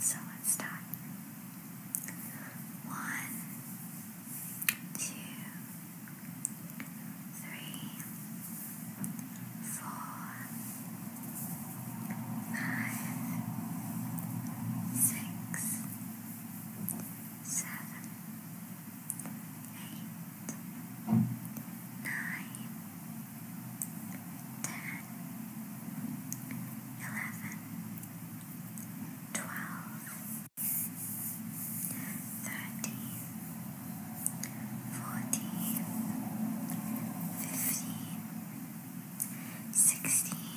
So let's start. One, two, three, four, five, six, seven, eight, nine, ten, eleven, twelve, thirteen, fourteen, fifteen, sixteen,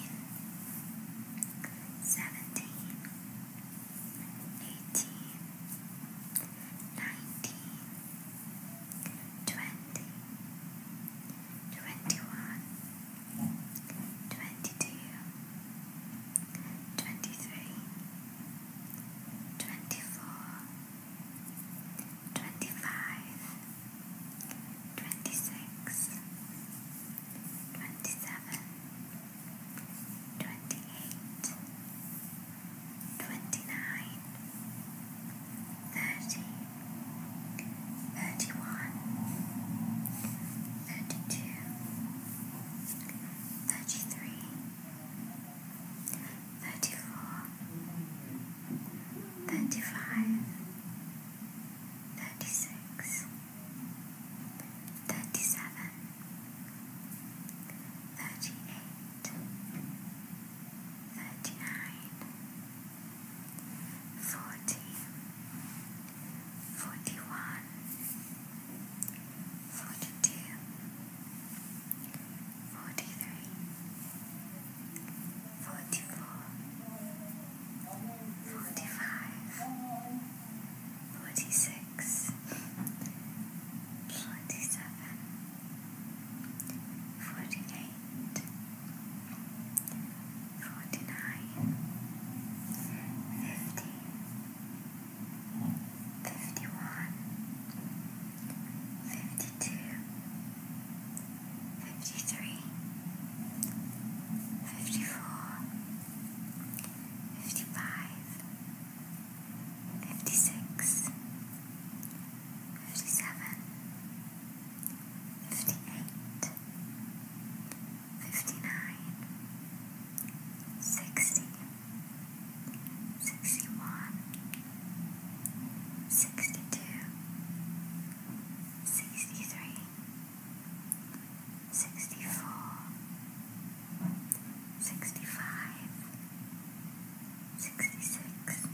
seventeen, eighteen, nineteen twenty, twenty-one, twenty-two, twenty-three, twenty-four, twenty-five, twenty-six, twenty-seven, twenty-eight, twenty-nine. 29 30 31 32 33 34 35 36 37 38 thirty-nine, forty, forty-one, forty-two, forty-three, forty-four, forty-five, forty-six, forty-seven. 48 49 50 51 52 53 54 55 56 57 58 59 60 61 62 63 64 65 66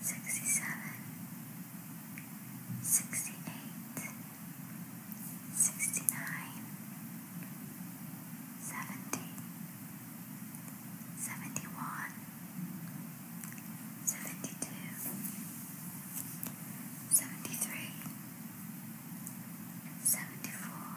sixty-seven, sixty-eight, sixty-nine, seventy, seventy-one, seventy-two, seventy-three, seventy-four. 73 74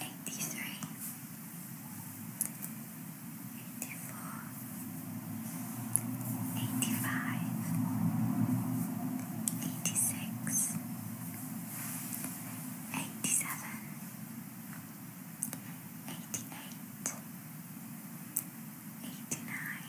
Eighty-three, eighty-four, eighty-five, eighty-six, eighty-seven, eighty-eight, eighty-nine, ninety, ninety-one.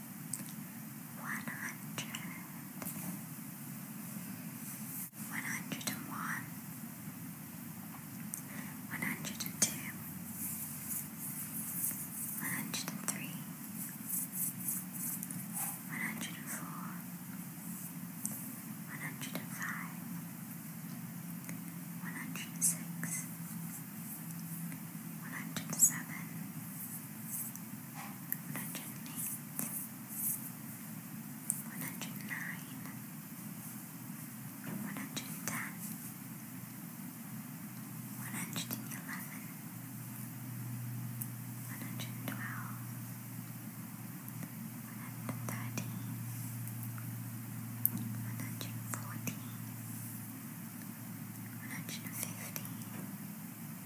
one hundred, one hundred and one, one hundred and two, one hundred and three, one hundred and four, one hundred and five, one hundred and six. 107 108 109 one hundred and eight, one hundred and nine, one hundred and ten, one hundred and eleven, one hundred and twelve, one hundred and thirteen, one hundred and fourteen, one hundred and fifteen.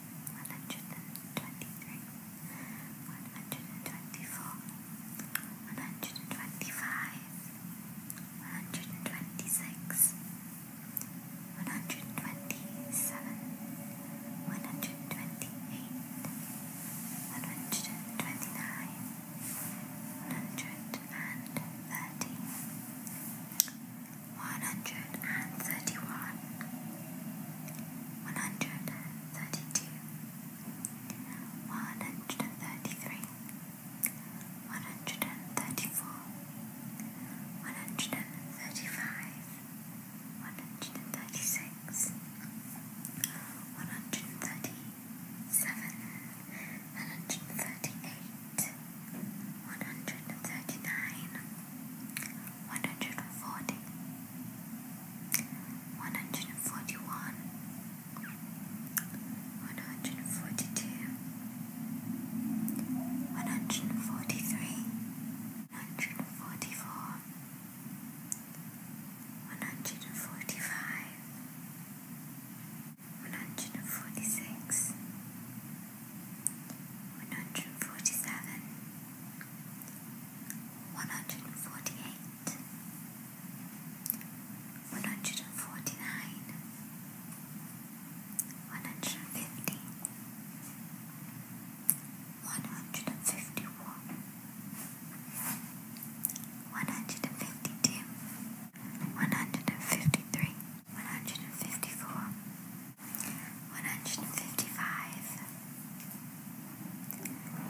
one hundred and twenty-three, one hundred and twenty-four, one hundred and twenty-five, one hundred and twenty-six, one hundred and twenty-seven, one hundred and twenty-eight, one hundred and twenty-nine, one hundred and thirty one hundred and thirty one, one hundred and thirty two, one hundred and thirty three, one hundred and thirty four, one hundred and thirty five, one hundred and thirty six, one hundred and thirty seven, one hundred and thirty eight one hundred and thirty nine, one hundred and forty, one hundred and forty one, one hundred and forty two, one hundred and forty three, one hundred and forty four, one hundred and forty five. One hundred and forty six, one one hundred and forty seven, one hundred and forty eight, one hundred and forty nine, one hundred and fifty, one hundred and fifty one, one hundred and fifty two, one hundred and fifty three. 150 151 152 153 one hundred and fifty four, one hundred and fifty five,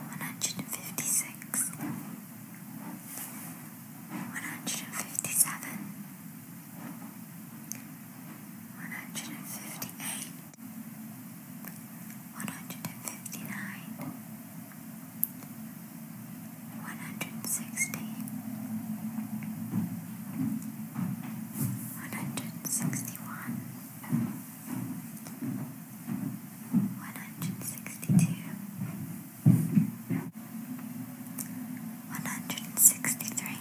one hundred and fifty six, one hundred and fifty seven, one hundred and fifty eight, one hundred and fifty nine. 160 one hundred and sixty one, one hundred and sixty two, one hundred and sixty three,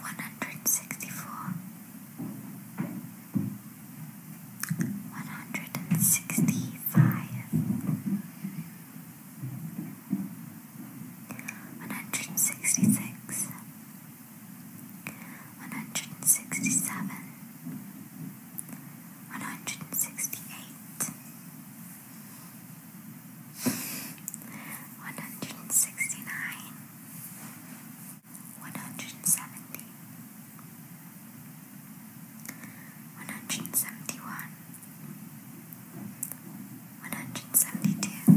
one hundred and sixty four. One hundred and sixty five, one hundred and sixty six, one hundred and sixty seven, one hundred and sixty eight, one hundred and sixty nine, one hundred and seventy one hundred seventy one, one hundred seventy two,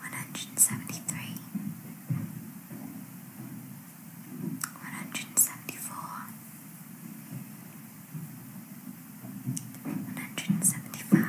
one hundred seventy three, one hundred seventy four, one hundred seventy five.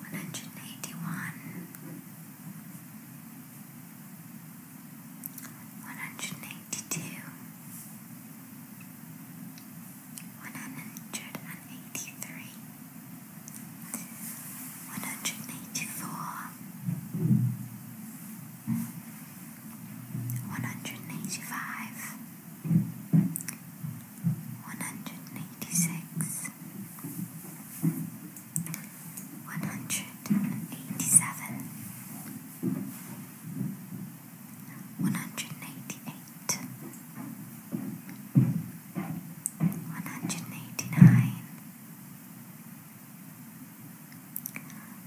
one hundred eighty one, one hundred eighty two, one hundred and eighty three, one hundred eighty four, one hundred eighty five one hundred and eighty six, one hundred and eighty seven, one hundred and eighty eight, one hundred and eighty nine.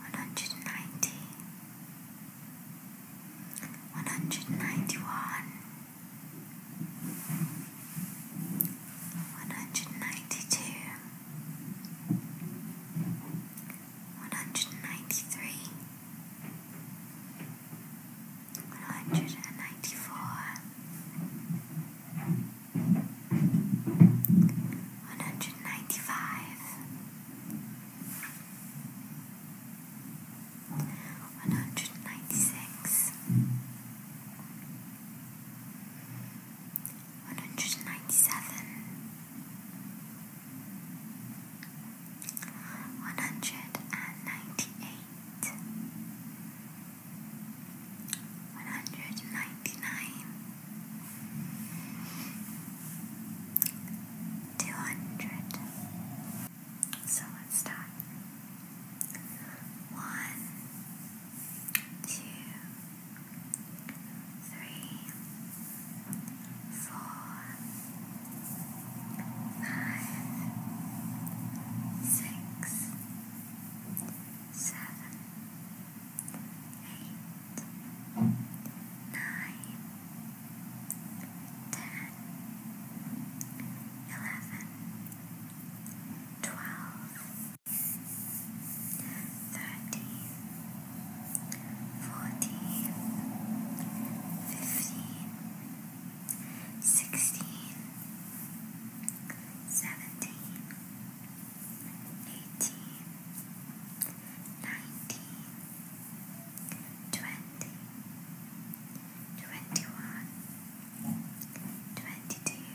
190 191 one hundred ninety two, one hundred ninety three, one hundred and ninety four, one hundred ninety five one hundred ninety six, one hundred ninety seven, one hundred and ninety eight, one hundred ninety nine. Two hundred, so let's start. One, two, three, four, five, six, seven, eight, nine, ten, eleven, twelve, thirteen, fourteen, fifteen, sixteen, seventeen, eighteen, nineteen. 18, twenty, twenty-one, twenty-two, twenty-three,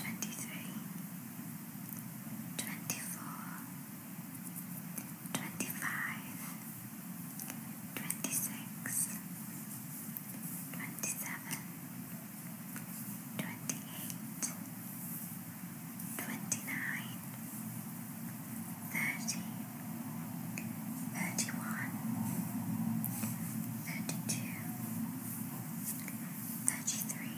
twenty-four, twenty-five, twenty-six, twenty-seven, twenty-eight. 29 twenty-nine, thirty, thirty-one, thirty-two, thirty-three, thirty-four,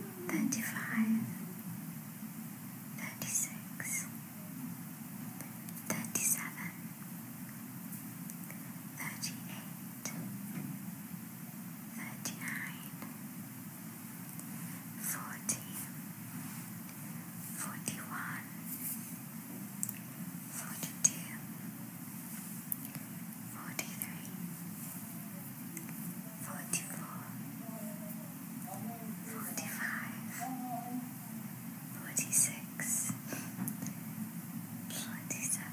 thirty-five, thirty-six, thirty-seven, thirty-eight. 39 thirty-nine, forty, forty-one, forty-two, forty-three, forty-four, forty-five, forty-six, forty-seven.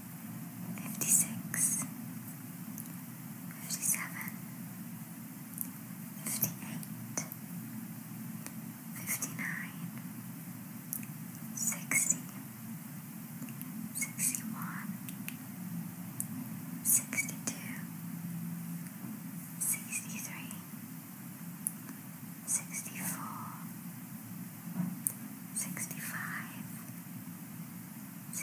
fifty six, fifty seven, fifty eight, fifty nine, sixty, sixty one, sixty two, sixty three, sixty four. 65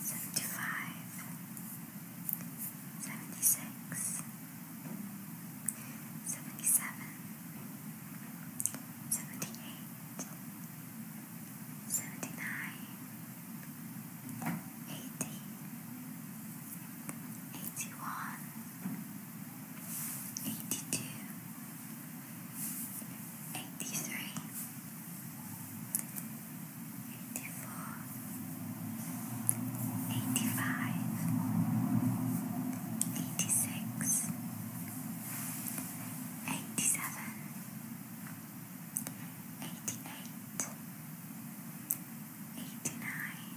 seventy-five, seventy-six, seventy-seven, seventy-eight, seventy-nine, eighty, eighty-one, eighty-two, eighty-three. Eighty-four, eighty-five, eighty-six, eighty-seven, eighty-eight, eighty-nine, ninety, ninety-one.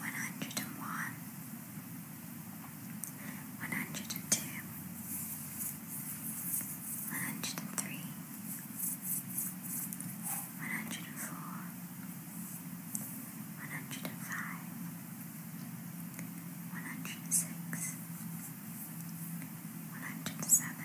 one hundred and one, one hundred and two, one hundred and three, one hundred and four, one hundred and five, one hundred and six, one hundred and seven.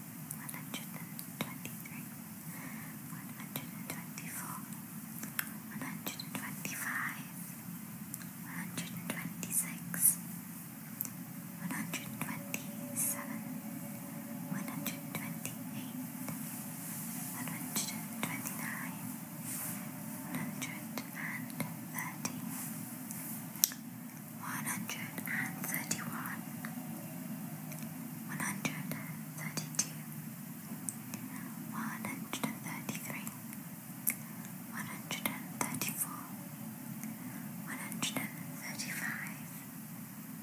one hundred and twenty-three, one hundred and twenty-four, one hundred and twenty-five, one hundred and twenty-six, one hundred and twenty-seven, one hundred and twenty-eight, one hundred and twenty-nine, one hundred and thirty one hundred and thirty one, one hundred and thirty two, one hundred and thirty three, one hundred and thirty four, one hundred and thirty five,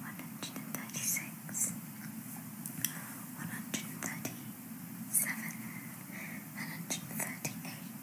one hundred and thirty six, one hundred and thirty seven, one hundred and thirty eight.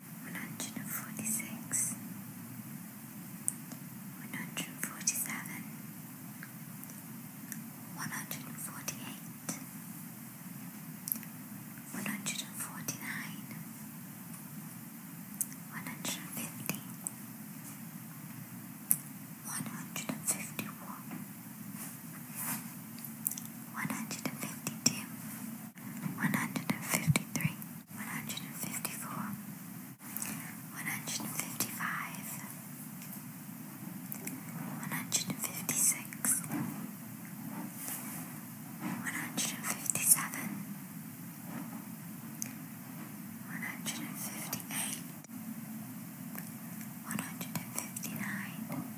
one hundred and forty six, one hundred and forty seven, one hundred and forty eight, one hundred and forty nine, one hundred and fifty, one hundred and fifty one. 152 153 one hundred and fifty four, one hundred and fifty five, one hundred and fifty six, one hundred and fifty seven, one hundred and fifty eight, one hundred and fifty nine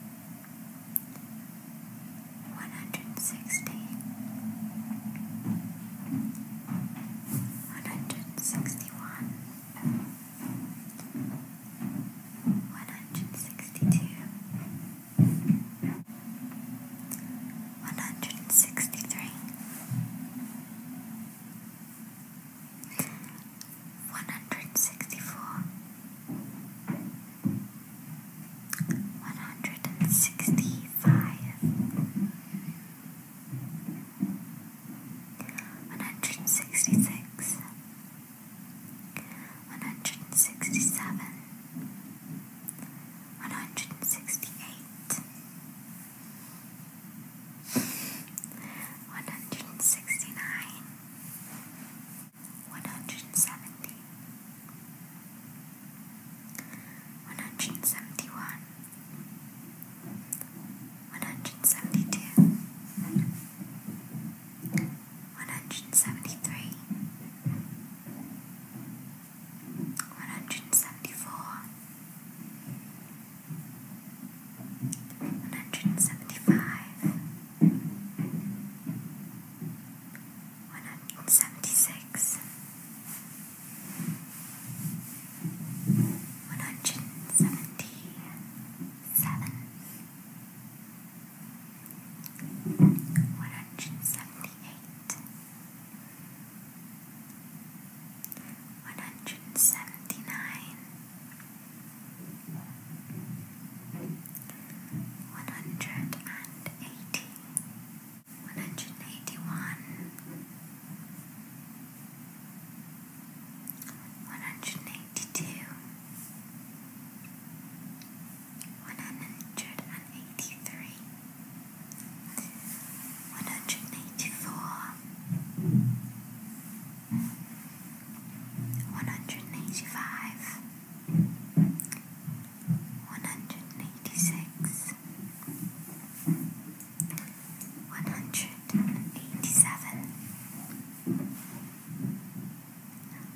one hundred sixty, one hundred sixty one, one hundred sixty two, one hundred sixty three, one hundred sixty four one hundred and sixty five, one hundred and sixty six, one hundred and sixty seven, one hundred and sixty eight. 169 170 one hundred seventy one, one hundred seventy two, one hundred seventy three, one hundred seventy four, one hundred seventy five one hundred and seventy six, one hundred and seventy seven, one hundred and seventy eight, one hundred and seventy nine. One hundred and eighty, one one hundred and eighty one, one hundred and eighty two, one hundred and eighty three, one hundred and eighty four, one hundred and eighty five one hundred and eighty six, one hundred and eighty seven,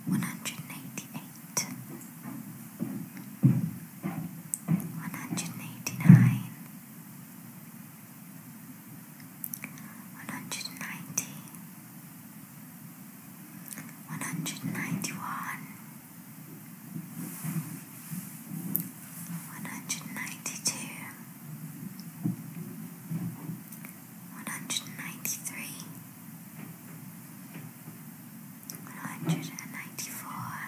one hundred and eighty eight, one hundred and eighty nine. 190 191 one hundred ninety one, one hundred ninety two, one hundred ninety three, one hundred and ninety four.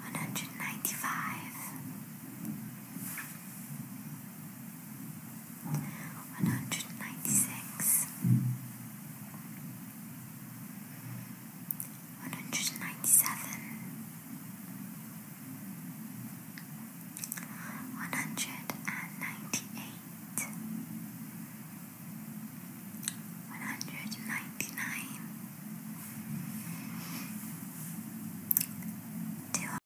One hundred ninety five, one hundred ninety six, one hundred ninety seven, one hundred and ninety eight, one hundred ninety nine.